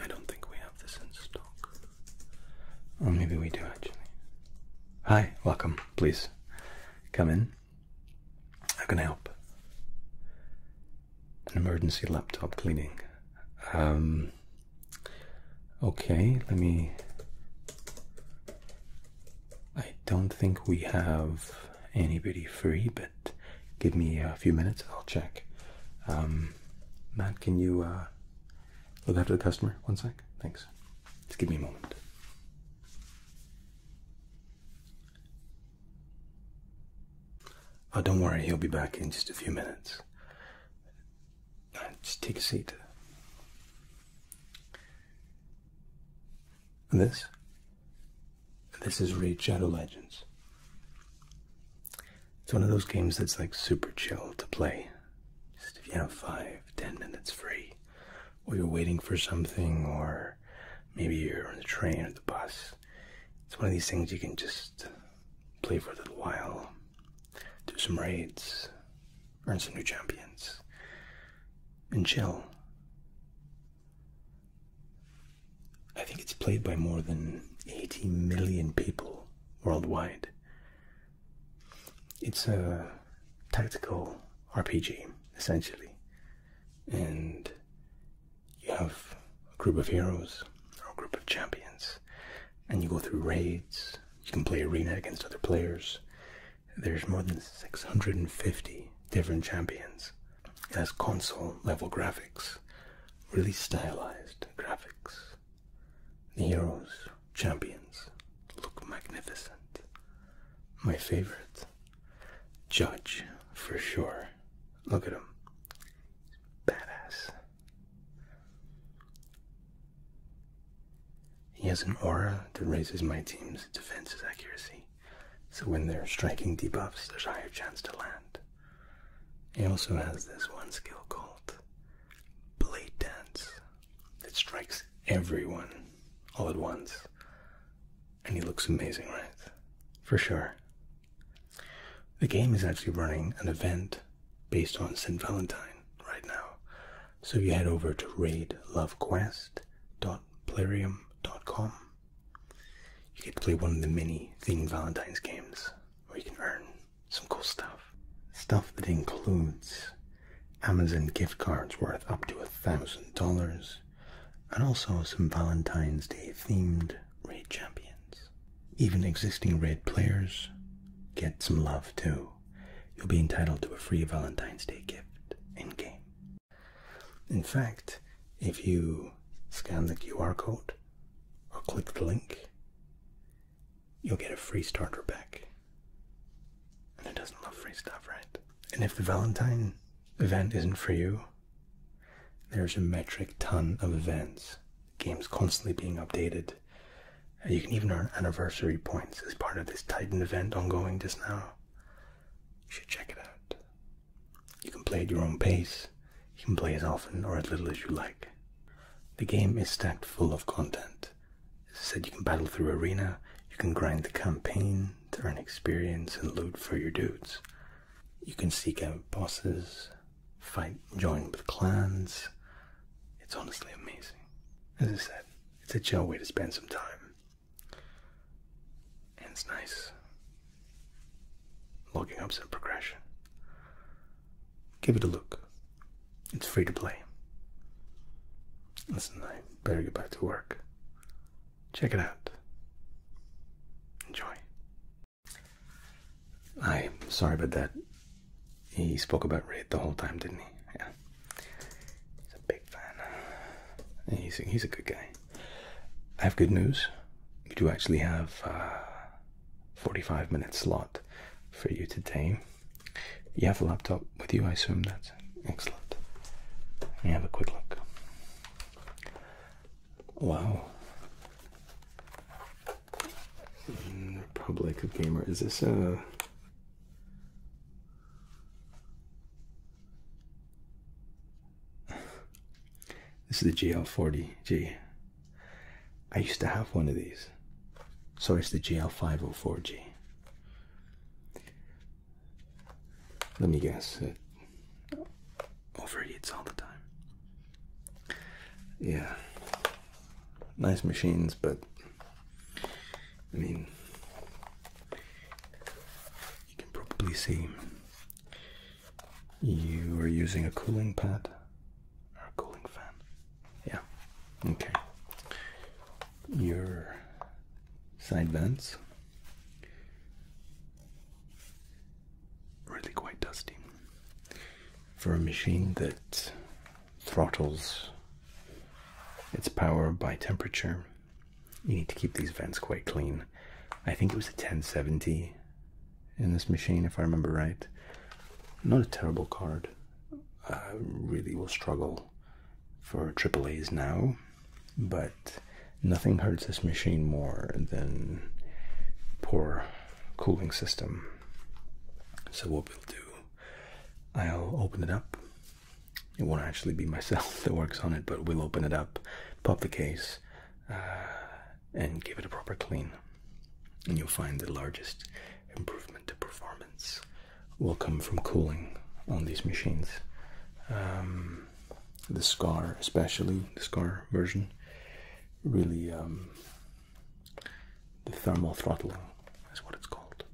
I don't think we have this in stock. Or oh, maybe we do actually. Hi, welcome. Please come in. How can I help? An emergency laptop cleaning. Um, okay, let me. I don't think we have anybody free, but give me a few minutes. I'll check. Um, Matt, can you uh, look after the customer? One sec. Thanks. Just give me a moment. Oh, don't worry. He'll be back in just a few minutes. Uh, just take a seat. This? This is Raid Shadow Legends. It's one of those games that's like super chill to play. Just if you have five, ten minutes free, or you're waiting for something, or maybe you're on the train or the bus. It's one of these things you can just play for a little while, do some raids, earn some new champions, and chill. I think it's played by more than 80 million people worldwide. It's a tactical RPG, essentially. And you have a group of heroes or a group of champions, and you go through raids. You can play arena against other players. There's more than 650 different champions has console level graphics, really stylized graphics. The heroes, champions, look magnificent. My favorite, Judge, for sure. Look at him. Badass. He has an aura that raises my team's defense's accuracy. So when they're striking debuffs, there's a higher chance to land. He also has this one skill called Blade Dance that strikes everyone all at once. And he looks amazing, right? For sure. The game is actually running an event based on St. Valentine right now. So you head over to raidlovequest.plarium.com you get to play one of the many themed Valentine's games where you can earn some cool stuff. Stuff that includes Amazon gift cards worth up to a thousand dollars, and also some Valentine's Day themed raid champions. Even existing raid players get some love too. You'll be entitled to a free Valentine's Day gift in game. In fact, if you scan the QR code or click the link, you'll get a free starter pack. And it doesn't love free stuff, right? And if the Valentine event isn't for you, there's a metric ton of events. Games constantly being updated. Uh, you can even earn anniversary points as part of this Titan event ongoing just now. You should check it out. You can play at your own pace, you can play as often or as little as you like. The game is stacked full of content. As I said, you can battle through arena, you can grind the campaign to earn experience and loot for your dudes. You can seek out bosses, fight, join with clans. It's honestly amazing. As I said, it's a chill way to spend some time. And it's nice. Logging up some progression. Give it a look. It's free to play. Listen, I better get back to work. Check it out. Enjoy. I'm sorry about that. He spoke about Raid the whole time, didn't he? Yeah. He's a big fan. He's he's a good guy. I have good news. You do actually have a uh, 45 minute slot for you today. You have a laptop with you, I assume that's excellent. Let have a quick look. Wow. Republic mm, of Gamer. Is this a uh, this is the GL40G. I used to have one of these. Sorry, it's the GL504G. Let me guess, it uh, overheats all the time. Yeah, nice machines, but I mean, you can probably see you are using a cooling pad or a cooling fan. Yeah. Okay. Your side vents really quite dusty for a machine that throttles its power by temperature you need to keep these vents quite clean. I think it was a 1070 in this machine, if I remember right. Not a terrible card. I really will struggle for triple A's now, but nothing hurts this machine more than poor cooling system. So what we'll do, I'll open it up. It won't actually be myself that works on it, but we'll open it up, pop the case, uh, and give it a proper clean, and you'll find the largest improvement to performance will come from cooling on these machines. Um, the Scar, especially the Scar version, really um, the thermal throttling is what it's called.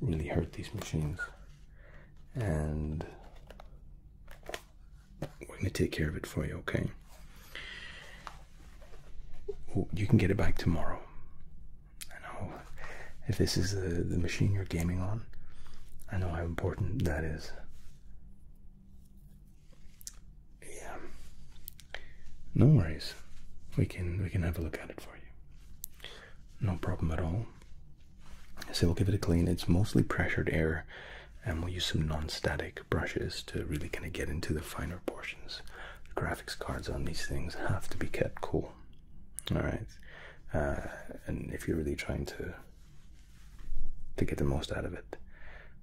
Really hurt these machines, and we're going to take care of it for you, okay? You can get it back tomorrow. I know if this is the, the machine you're gaming on, I know how important that is. Yeah. No worries. We can we can have a look at it for you. No problem at all. So we'll give it a clean. It's mostly pressured air, and we'll use some non-static brushes to really kind of get into the finer portions. The graphics cards on these things have to be kept cool. All right, uh, and if you're really trying to to get the most out of it,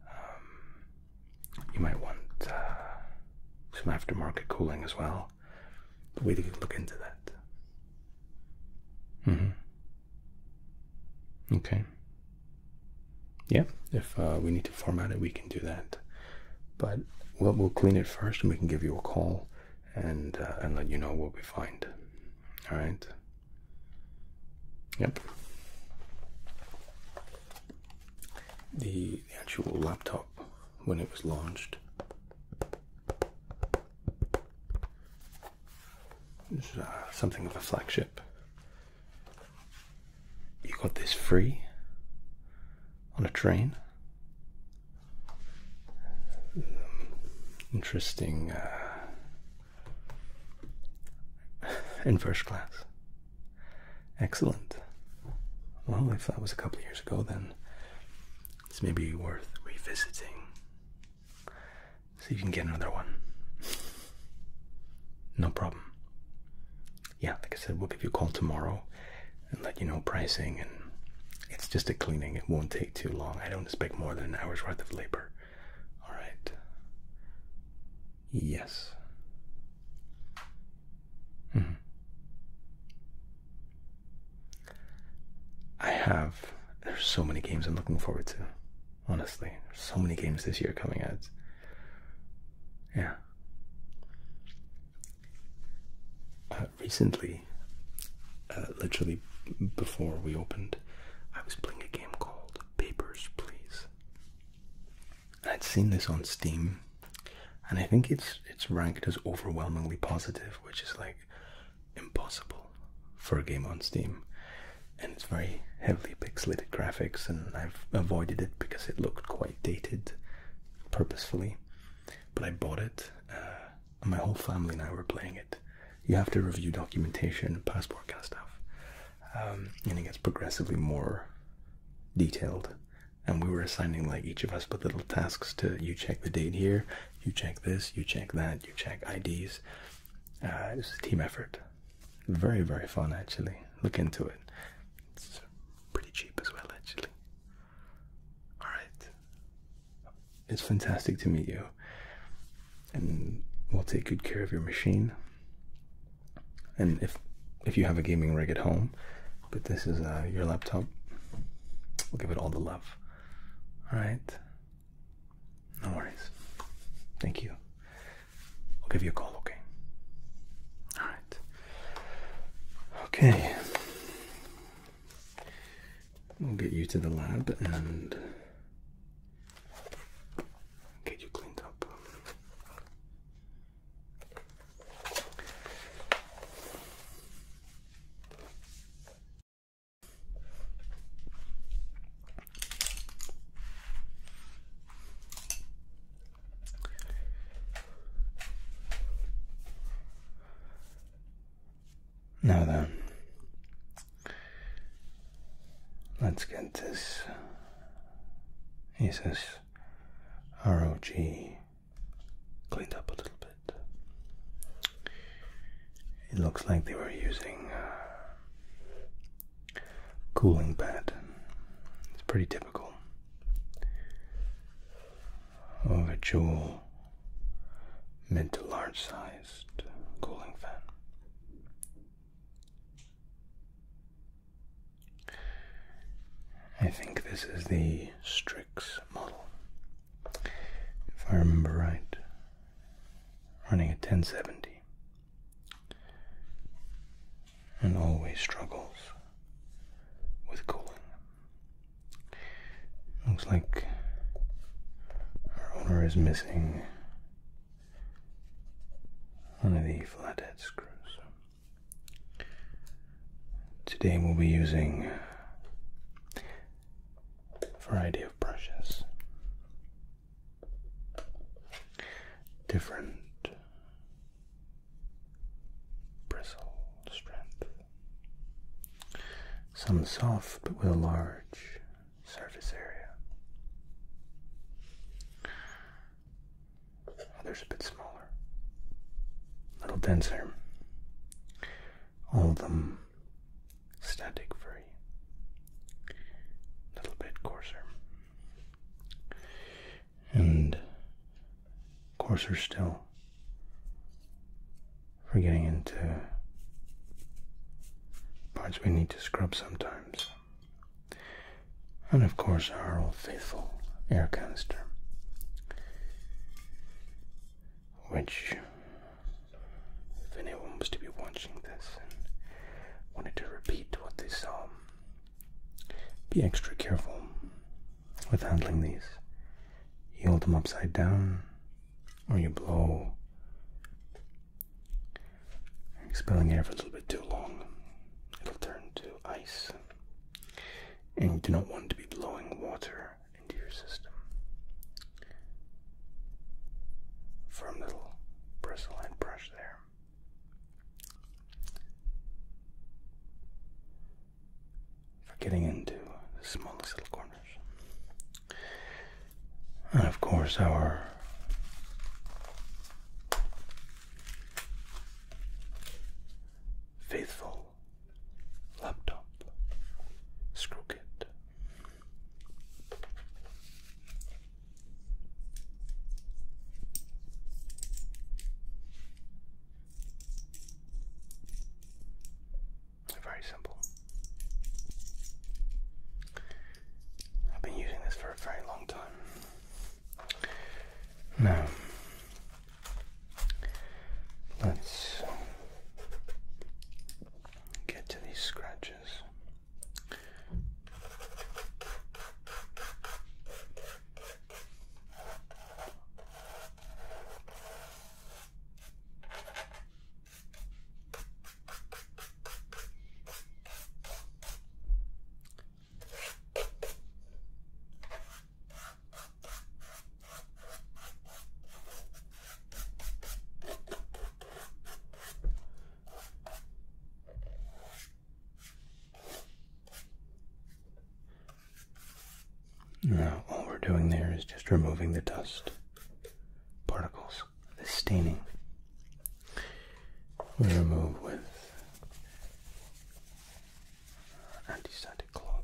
um, you might want uh, some aftermarket cooling as well. we didn't look into that. Mm-hmm. Okay. Yeah, if uh, we need to format it, we can do that. But we'll, clean it first and we can give you a call and, uh, and let you know what we find. All right? Yep. the actual laptop, when it was launched, this is uh, something of a flagship. You got this free on a train. Um, interesting uh, in first class. Excellent. Well, if that was a couple of years ago, then this may be worth revisiting See if you can get another one. No problem. Yeah, like I said, we'll give you a call tomorrow and let you know pricing. And it's just a cleaning, it won't take too long. I don't expect more than an hour's worth of labor. All right. Yes. Mm-hmm. I have there's so many games I'm looking forward to. Honestly, there's so many games this year coming out. Yeah. Uh, recently, uh, literally before we opened, I was playing a game called Papers, Please. I'd seen this on Steam, and I think it's it's ranked as overwhelmingly positive, which is like impossible for a game on Steam, and it's very heavily pixelated graphics, and I've avoided it because it looked quite dated, purposefully. But I bought it. Uh, and my whole family and I were playing it. You have to review documentation, passport kind of stuff, um, and it gets progressively more detailed. And we were assigning like each of us but little tasks to you check the date here, you check this, you check that, you check IDs. Uh, it a team effort. Very, very fun, actually. Look into it. It's pretty cheap as well, actually. All right. It's fantastic to meet you. And we'll take good care of your machine. And if if you have a gaming rig at home, but this is uh, your laptop, we'll give it all the love. All right. No worries. Thank you. I'll give you a call, okay? All right. Okay. We'll get you to the lab and get you cleaned up. Now then, let's get this Asus ROG cleaned up a little bit. It looks like they were using a uh, cooling pad. It's pretty typical of a jewel mid to large sized cooling fan. I think this is the Strix model if I remember right, running at 1070 and always struggles with cooling. Looks like our owner is missing one of the flathead screws. Today we'll be using variety of brushes, different bristle strength, some soft but with a large surface area, others a bit smaller, a little denser. All of them static free, a little bit coarser, and coarser still for getting into parts we need to scrub sometimes. And of course, our old faithful air canister, which if anyone was to be watching this and wanted to repeat what they saw, be extra careful with handling these. You hold them upside down, or you blow, expelling air for a little bit too long. It'll turn to ice, and you do not want to be blowing water into your system. Firm little bristle and brush there. For getting into the smallest little corners. And of course, our faithful laptop screw kit. Very simple. I've been using this for a very long time. Now, let's get to these scratches. Now, all we're doing there is just removing the dust particles, the staining. We remove with antiseptic cloth.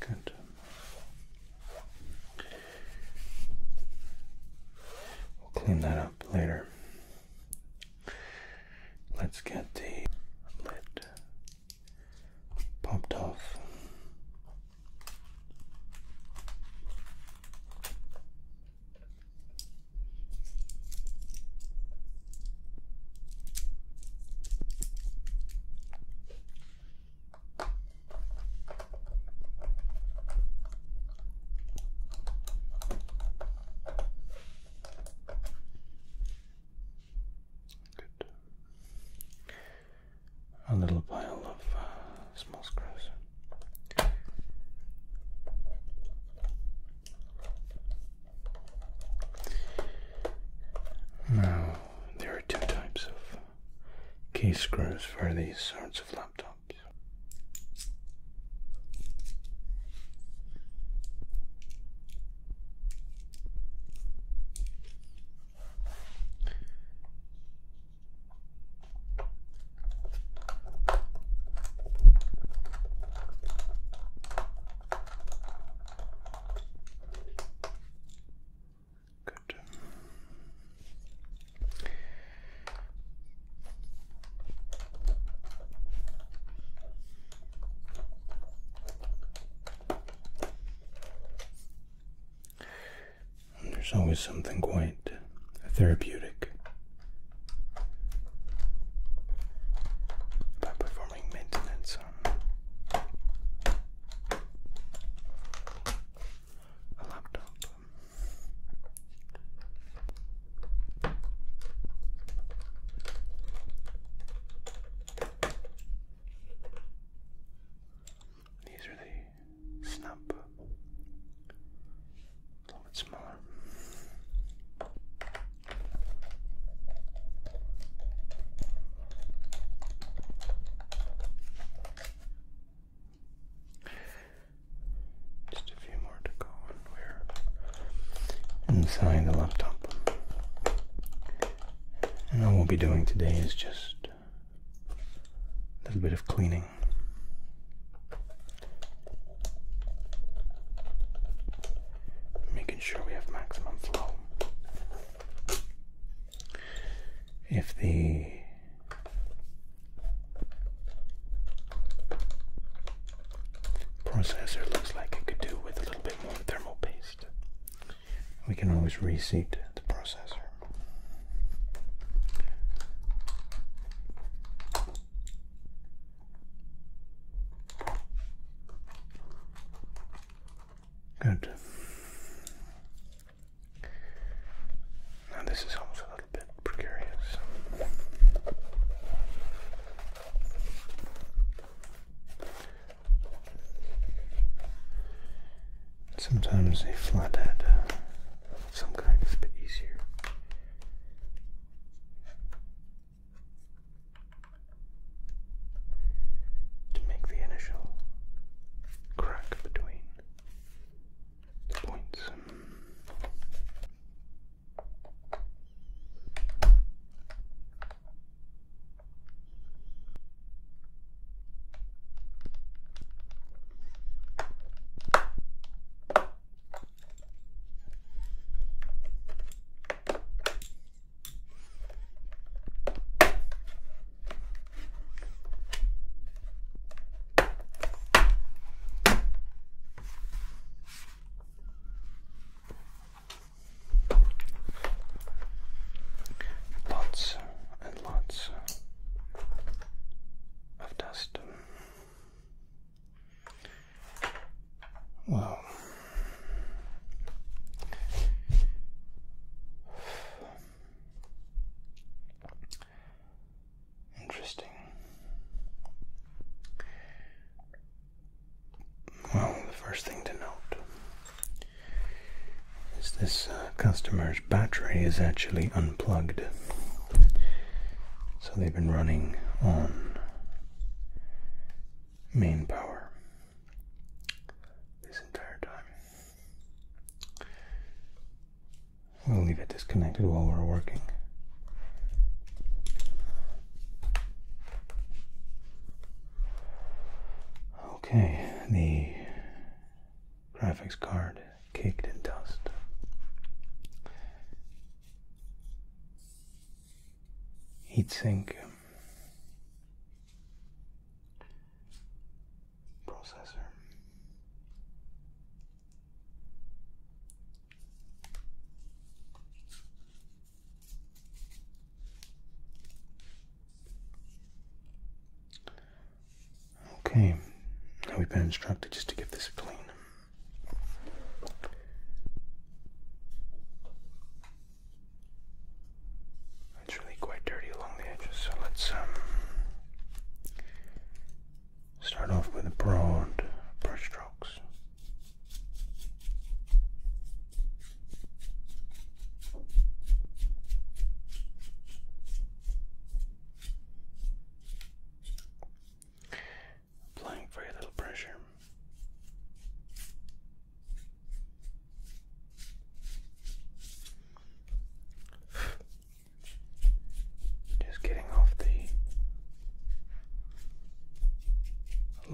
Good. We'll clean that up later. Let's get the lid popped off. A little pile of uh, small screws. Now, there are two types of key screws for these sorts of laptops. There's always something quite therapeutic about performing maintenance um, a laptop. These are the snap, a little bit smaller. Just a few more to go, we're inside the laptop. And all we'll be doing today is just a little bit of cleaning making sure we have maximum flow. If the processor looks like it could do with a little bit more thermal paste, we can always reseat the processor. Good. Now, this is almost a little bit precarious. Sometimes a flathead some kind is a bit easier to make the initial crack between the points. Lots and lots of dust. Wow. Interesting. Well, the first thing to note is this uh, customer's battery is actually unplugged. So they've been running on main power this entire time. We'll leave it disconnected while we're working. Okay, the graphics card caked in dust heat sink processor. Okay, now we've been instructed just to give this a clean. It's really quite dirty along the edges, so let's um, start off with broad brush strokes. Applying very little pressure. Just getting off the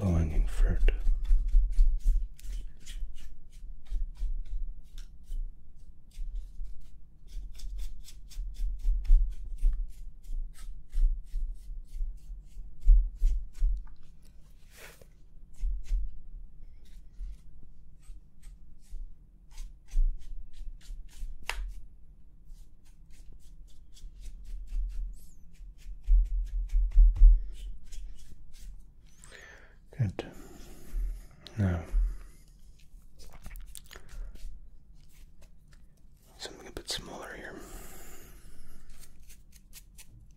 low hanging fruit. Good. Now, something a bit smaller here.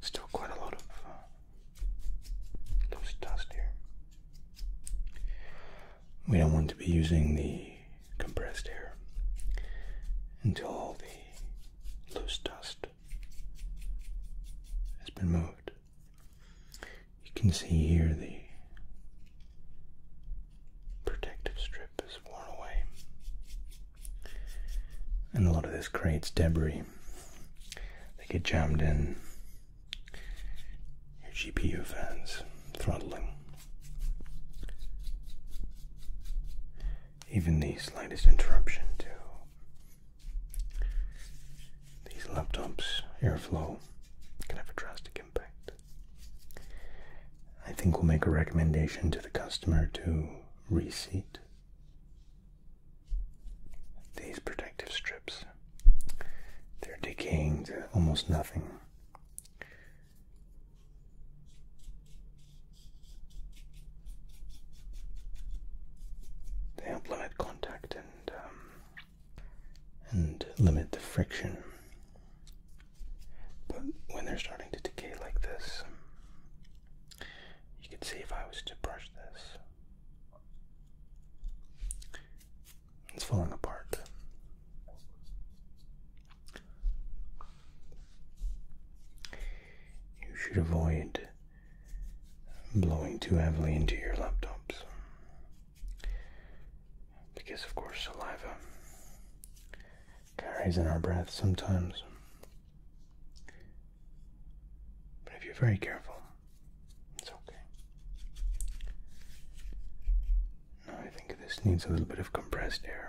Still quite a lot of uh, loose dust here. We don't want to be using the compressed air until all the loose dust has been moved. You can see here the protective strip has worn away, and a lot of this creates debris. They get jammed in your GPU fans throttling. Even the slightest interruption to these laptops' airflow can have a drastic impact. I think we'll make a recommendation to the customer to reseat these protective strips. They're decaying to almost nothing. They help limit contact and um, and limit the friction. But when they're starting to decay like this, you can see if I was to brush this, it's falling apart. You should avoid blowing too heavily into your laptops because, of course, saliva carries in our breath sometimes. But if you're very careful, it's okay. I think this needs a little bit of compressed air.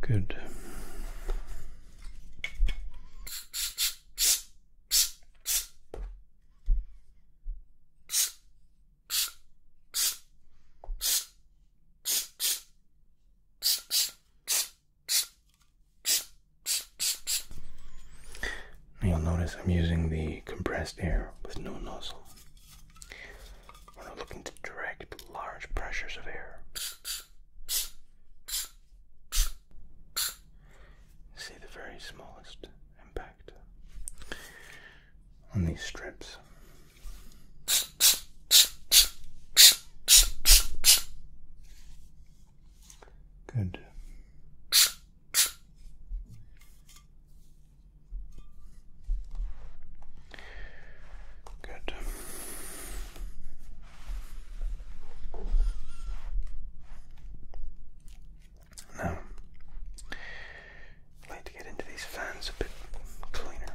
Good. you'll notice I'm using the compressed air with no nozzle. We're looking to direct large pressures of air. See the very smallest impact on these strips. Good. Good. Now, I'd to get into these fans a bit cleaner.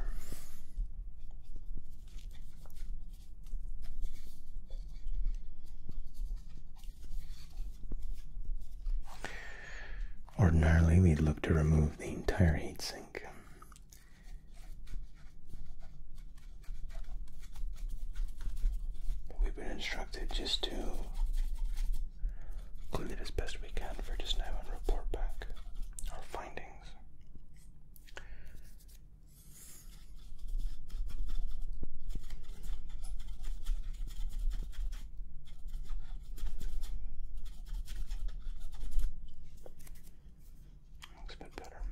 Ordinarily, we'd look to remove the entire heatsink. We've been instructed just to clean it as best we can for just now and report back our findings. Looks a bit better.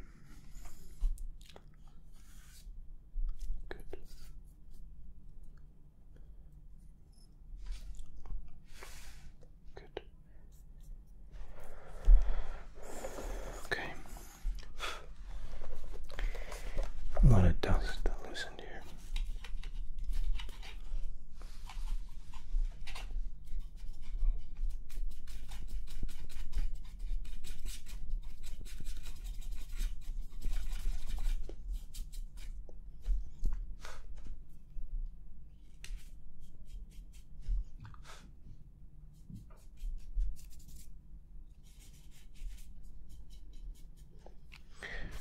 Good. Good. Okay. A lot of dust loosened here.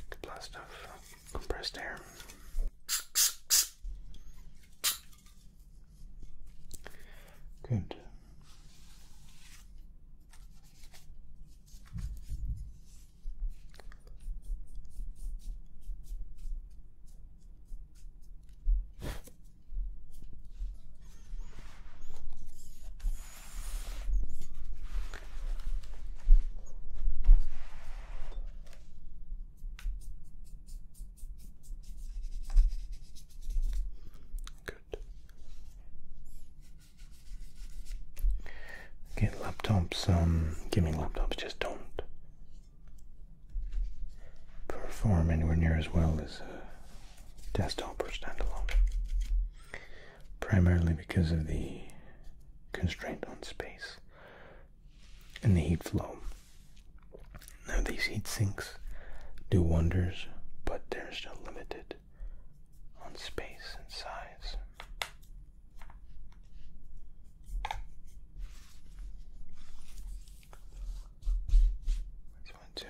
Good blast off compressed air. Good. Good. Again, laptops, um, gaming laptops just don't perform anywhere near as well as desktops uh, desktop or standalone. Primarily because of the constraint on space and the heat flow. Now, these heat sinks do wonders, but they're still limited on space and size. Let's to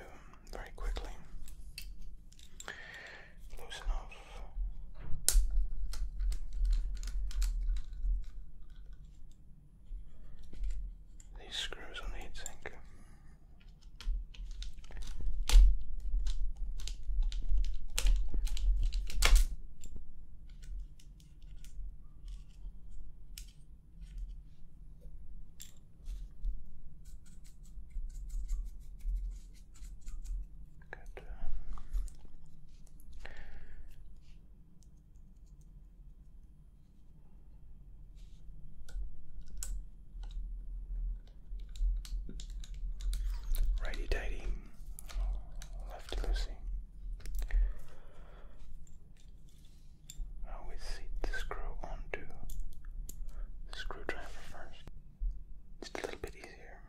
very quickly. These screws on the heatsink. Um, righty tighty, lefty loosey. I always seat the screw onto screwdriver first. Just a little bit easier.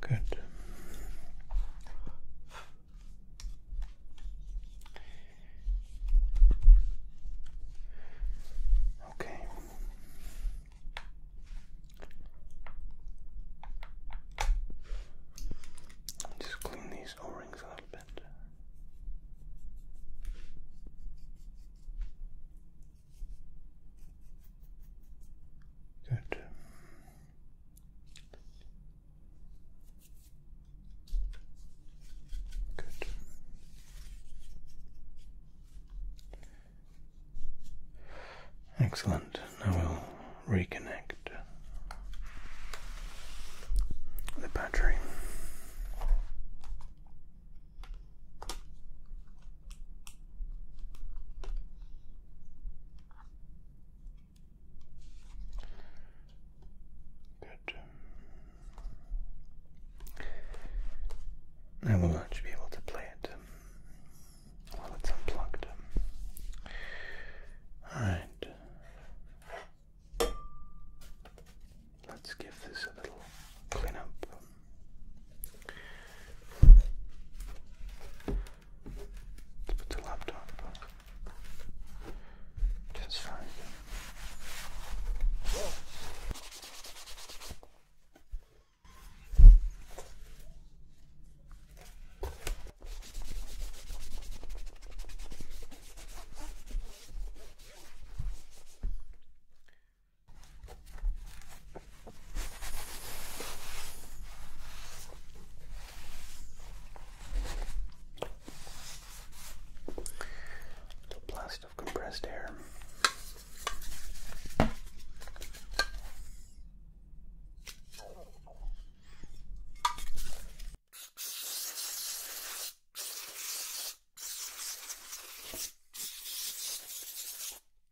Good. Okay. Just clean these O-rings a little bit. Good. Good. Excellent. Now we'll reconnect the battery. Good. I will not be able to play it um, while it's unplugged. Alright. Let's give this a little cleanup. Let's put the laptop up. That's fine. Little blast of compressed air.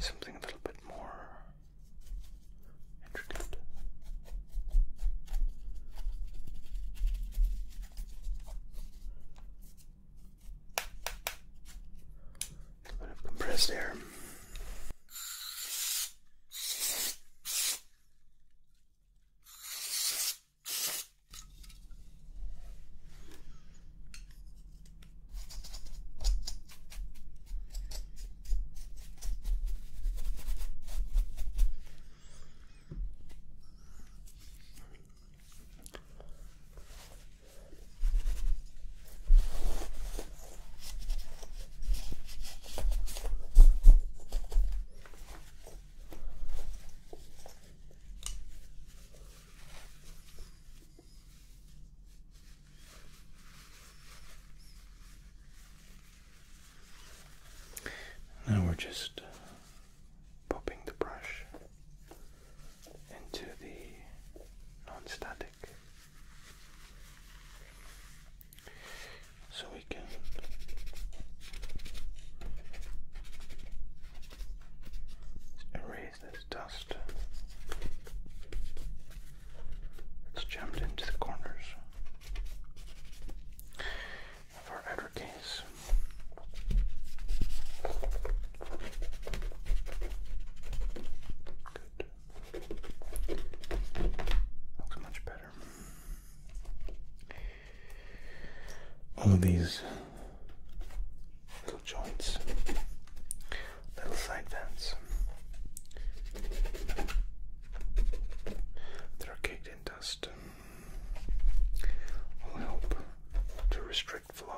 Something a little bit more intricate a bit of compressed air. Now we're just popping the brush into the non static so we can erase this dust that's jammed into the corners of our outer case. Looks much better. All of these little joints, little side vents, that are caked in dust, will help to restrict flow.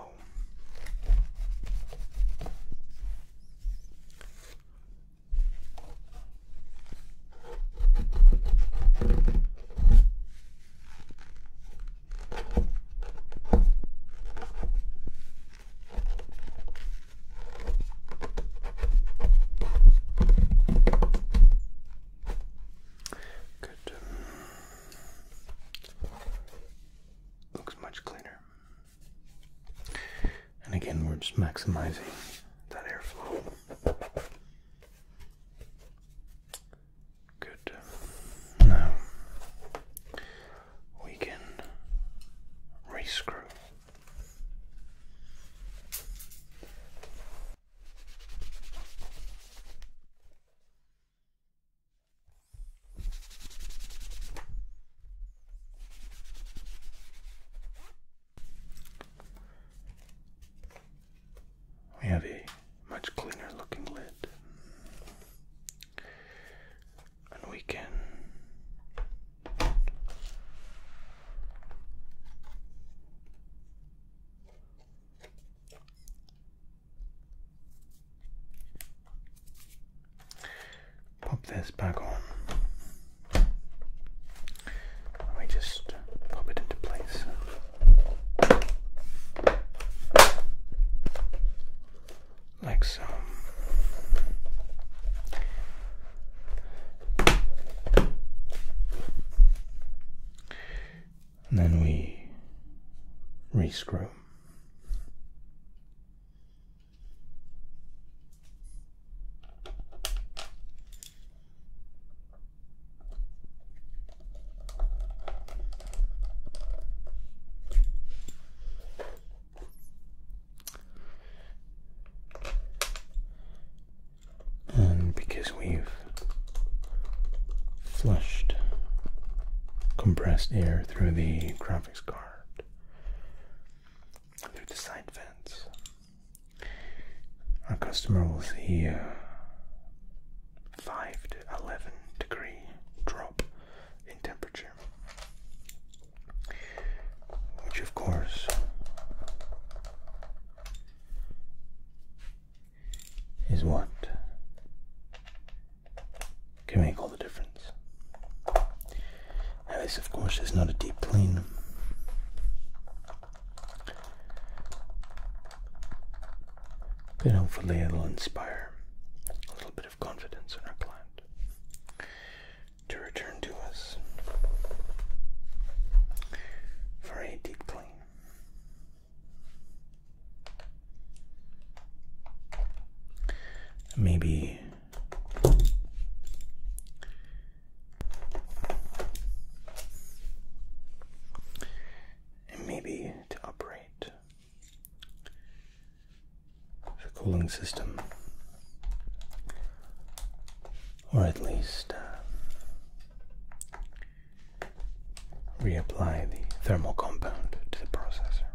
Good. Um, looks much cleaner. And again, we're just maximizing that airflow. Good. Now we can rescrew. We have a much cleaner looking lid, and we can Pop this back on. Let me just pop it into place. Like so. And then we rescrew. And because we've flushed compressed air through the graphics card through the side vents. Our customer will see a 5 to 11 degree drop in temperature, which of course is what can make all the difference. Now, this, of course, is not a deep clean. But hopefully, it'll inspire a little bit of confidence in our client to return to us for a deep clean. Maybe and maybe to operate the cooling system, or at least uh, reapply the thermal compound to the processor.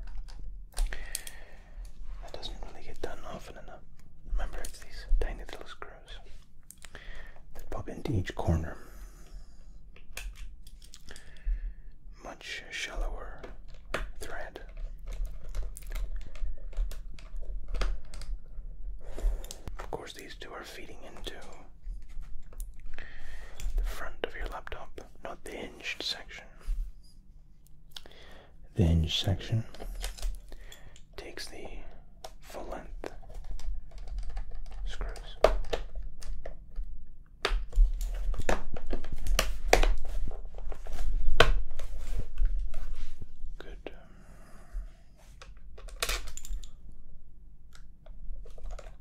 That doesn't really get done often enough. Remember, it's these tiny little screws that pop into each corner. Much shallower thread. Of course, these two are feeding into the front of your laptop, not the hinged section. The hinge section takes the full length screws. Good.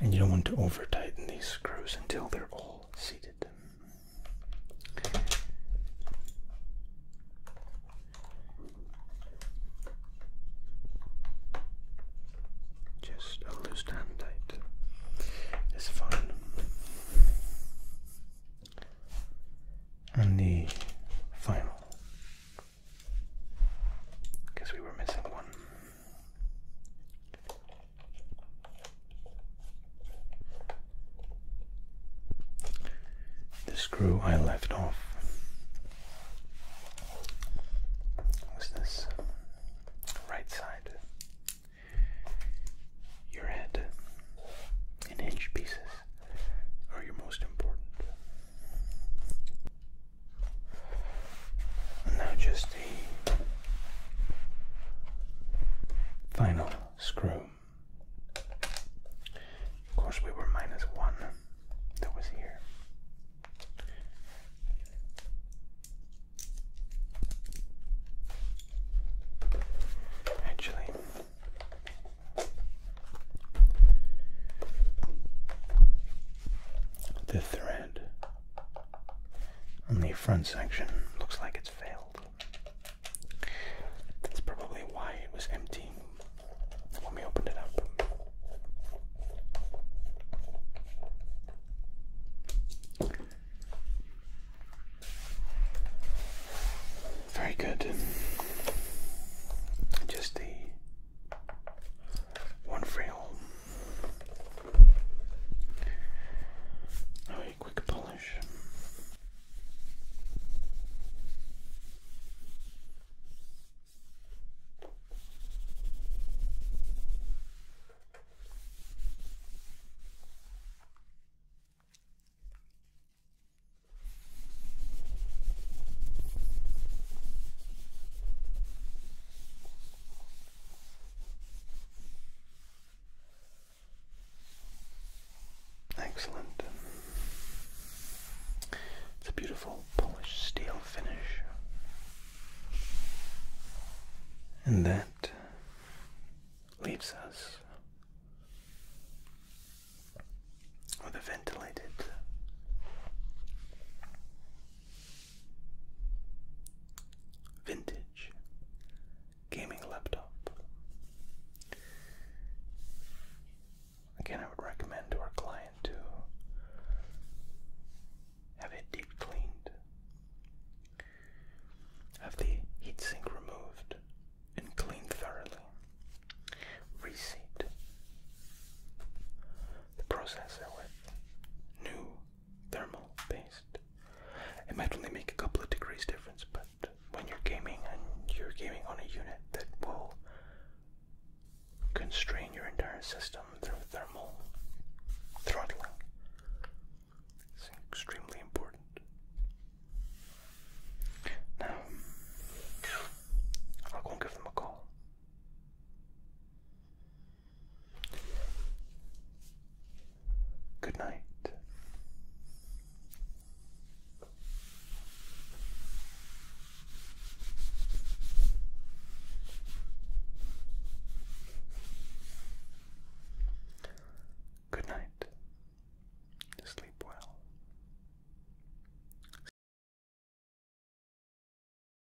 And you don't want to over tighten these screws until they're all seated. Just a loose hand tight is fine. And the final, because we were missing one. The screw I left off was this right side. Your head in inch pieces are your most important now just the final screw. Of course, we were minus one that was here. Actually, the thread and the front section looks like it's failed. That's probably why it was empty when we opened it up. Very good. Just the one frail Oh, a quick polish. Excellent. It's a beautiful polish steel finish. And that leaves us with a ventilated Vintage gaming laptop. Again, I would recommend to our client to have it deep cleaned, have the heatsink removed and cleaned thoroughly, reseat the processor with new thermal based. It might only make a couple of degrees difference, but when you're gaming and you're gaming on a unit that will constrain your entire system through thermal throttling, it's extremely important. Now, I'll go and give them a call. Good night. Good night. Sleep well.